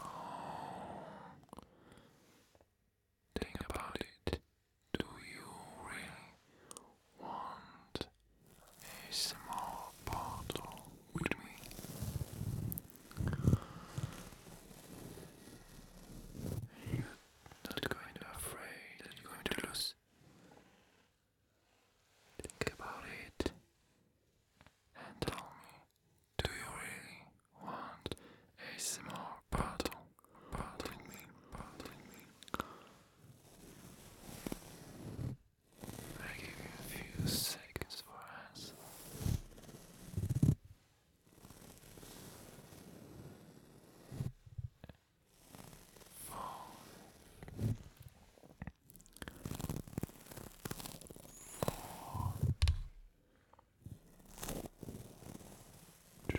Oh. Think about it. Do you really want a small bottle with me? You're not going to afraid you're going to lose. Think about it and tell me. Do you really want a small bottle? Bottle me, bottle me. I give you a few seconds for us three, two, two,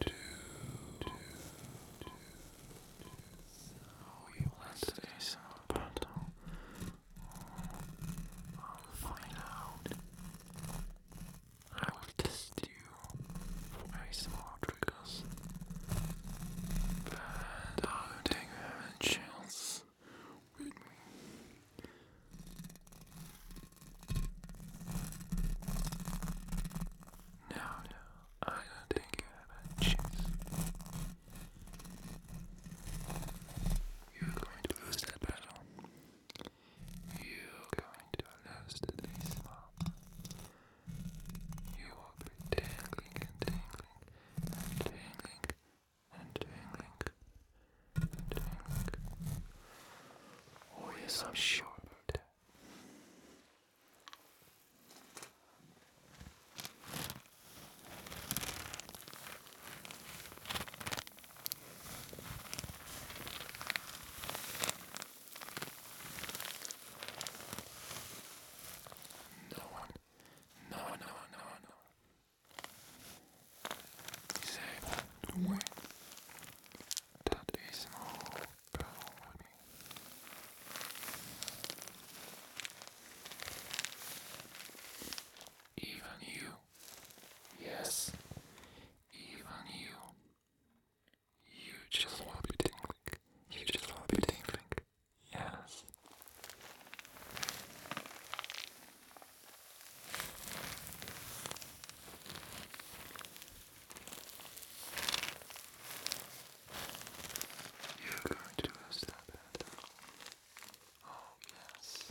two. So you want today's sound I'll find out. I will test you for ASMR triggers. And I don't chills with me. Now, no, I don't think you have a chance. You're going to lose that battle. You're going to lose this one. You will be tingling and tingling and tingling, and tingling, and tingling. Oh yes, I'm sure about that. No one no, no, no, no. Disabled doorway. That is no problem. Even you. Yes. Even you. You just want to be You just want to be Yes. You're going to step it. Oh, yes.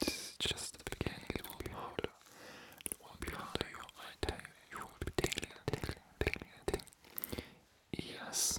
this is just the beginning. It will be harder. It will be harder. You, I you, you will be tingling, tingling, tingling, tingling. Yes.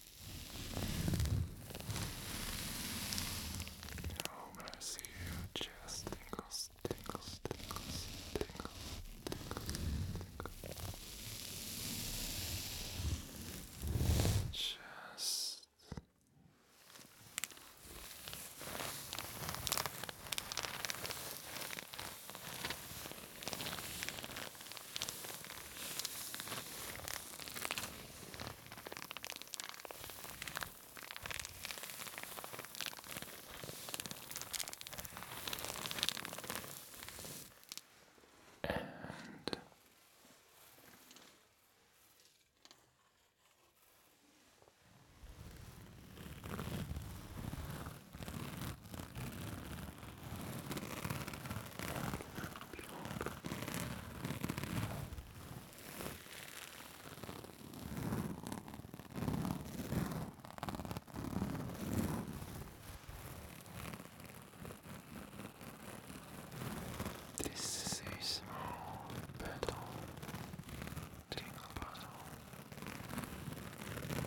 Now I'm gonna see your chest tingles, tingles, tingles, tingles, tingles, tingles. Chest. Now and pure this is a small petal tingle bottle. you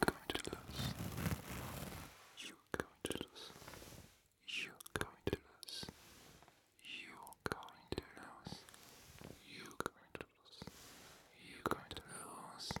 going to lose. You you're going to lose. You're going to lose. You're going to lose. You're going to lose. You're going to lose.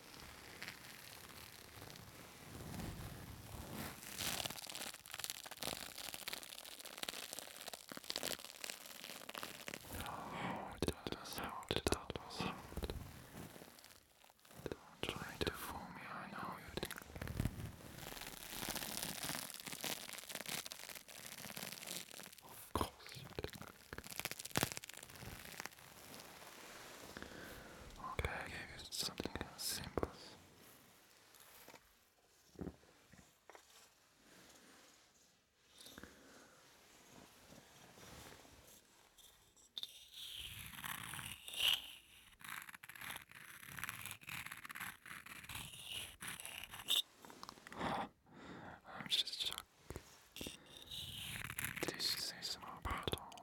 that was out, that was out. Don't try to fool me, I know you did. Of course you did. Okay, I gave you something simple. I'm just shocked. This is about all.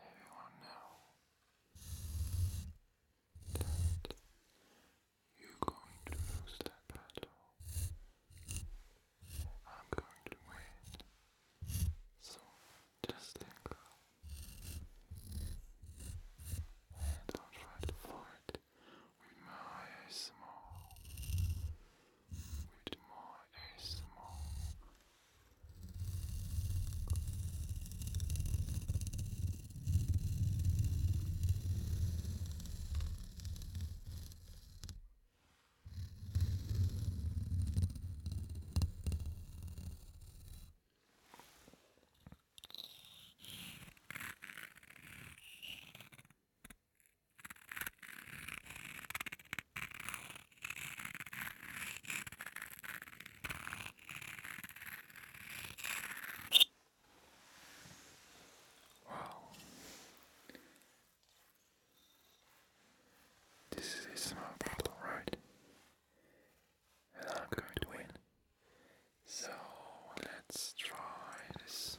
Everyone know that you're going to lose that battle. I'm going to win. So just let go. Don't try to fight with my ASMR. With my ASMR. Wow. This is a small bottle, right? and I'm going to win. So let's try this.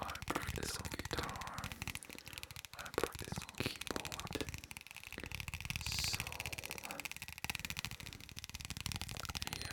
I practice on guitar. I practice on keyboard. So yeah,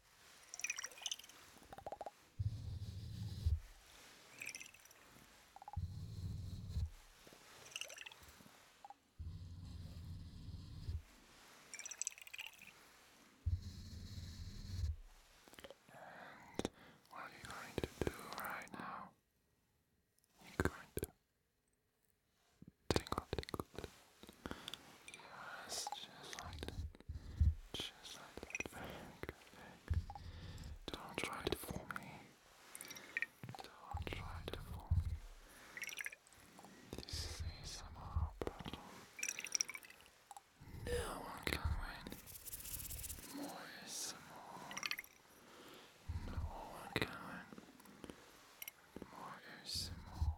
And what are you going to do right now? You're going to tingle, tingle, tingle. Yes, just like Just like that. Don't try to fool me. Don't try to fool me. This is a No one can win. More is more. No one can win. More is more.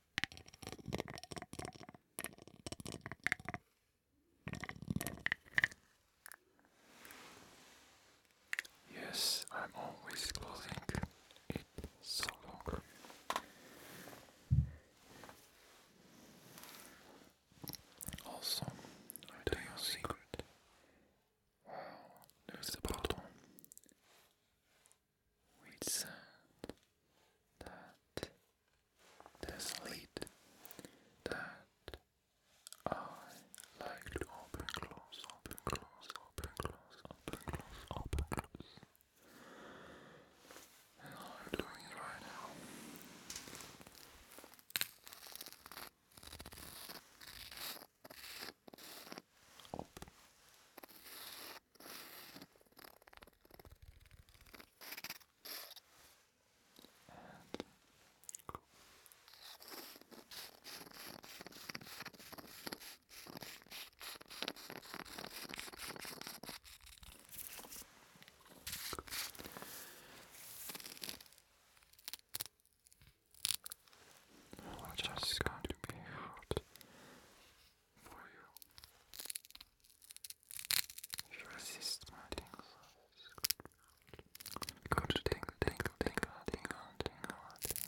Yes, I'm always closing it so long. Also, I tell you a secret. Wow, there's a bottle with sand that there's a that I like to open, close, open, close, open, close, open, close, open, close. And I'm doing it right now. And cool. Cool. Well, just going to be hard for you. You resist my tingles. Go to tingle, tingle, tingle, tingle, tingle, tingle.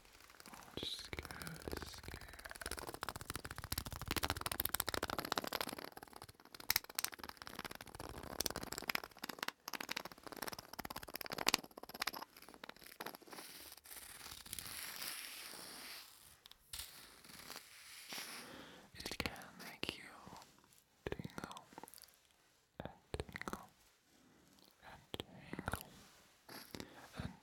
Just scared, you tingle and tingle and tingle and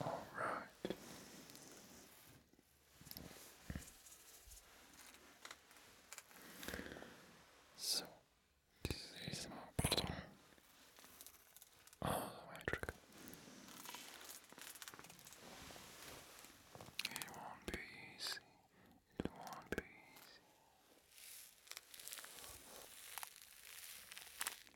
All right. So this is my all the way through. It won't be easy. It won't be easy.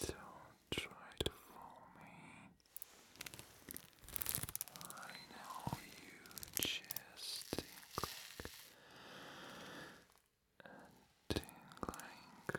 Don't try to fool me. I know you just tinkling and tingling and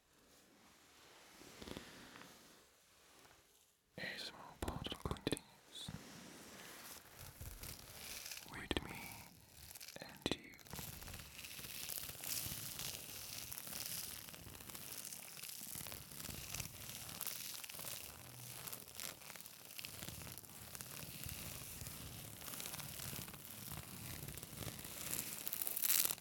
A small bottle continues with me and you.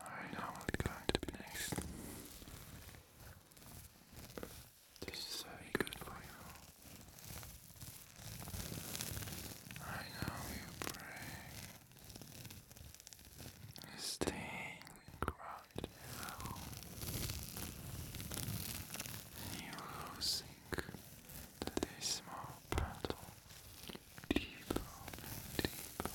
Alright, now it's going to be next. This is very good for you. I know you pray. Staying right now. And you're losing this small battle. Deeper and deeper and deeper.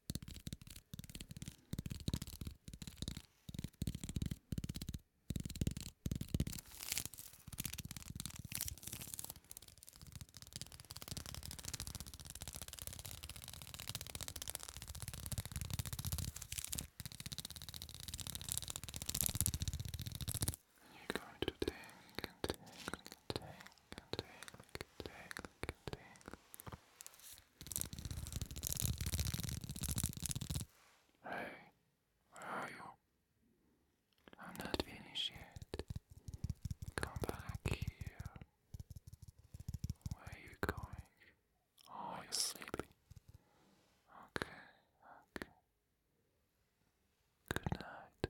You're going to tingling, tingling, Hey, are you? I'm not finished Come back here. Where are you going? Oh, you're Okay, okay. Good night.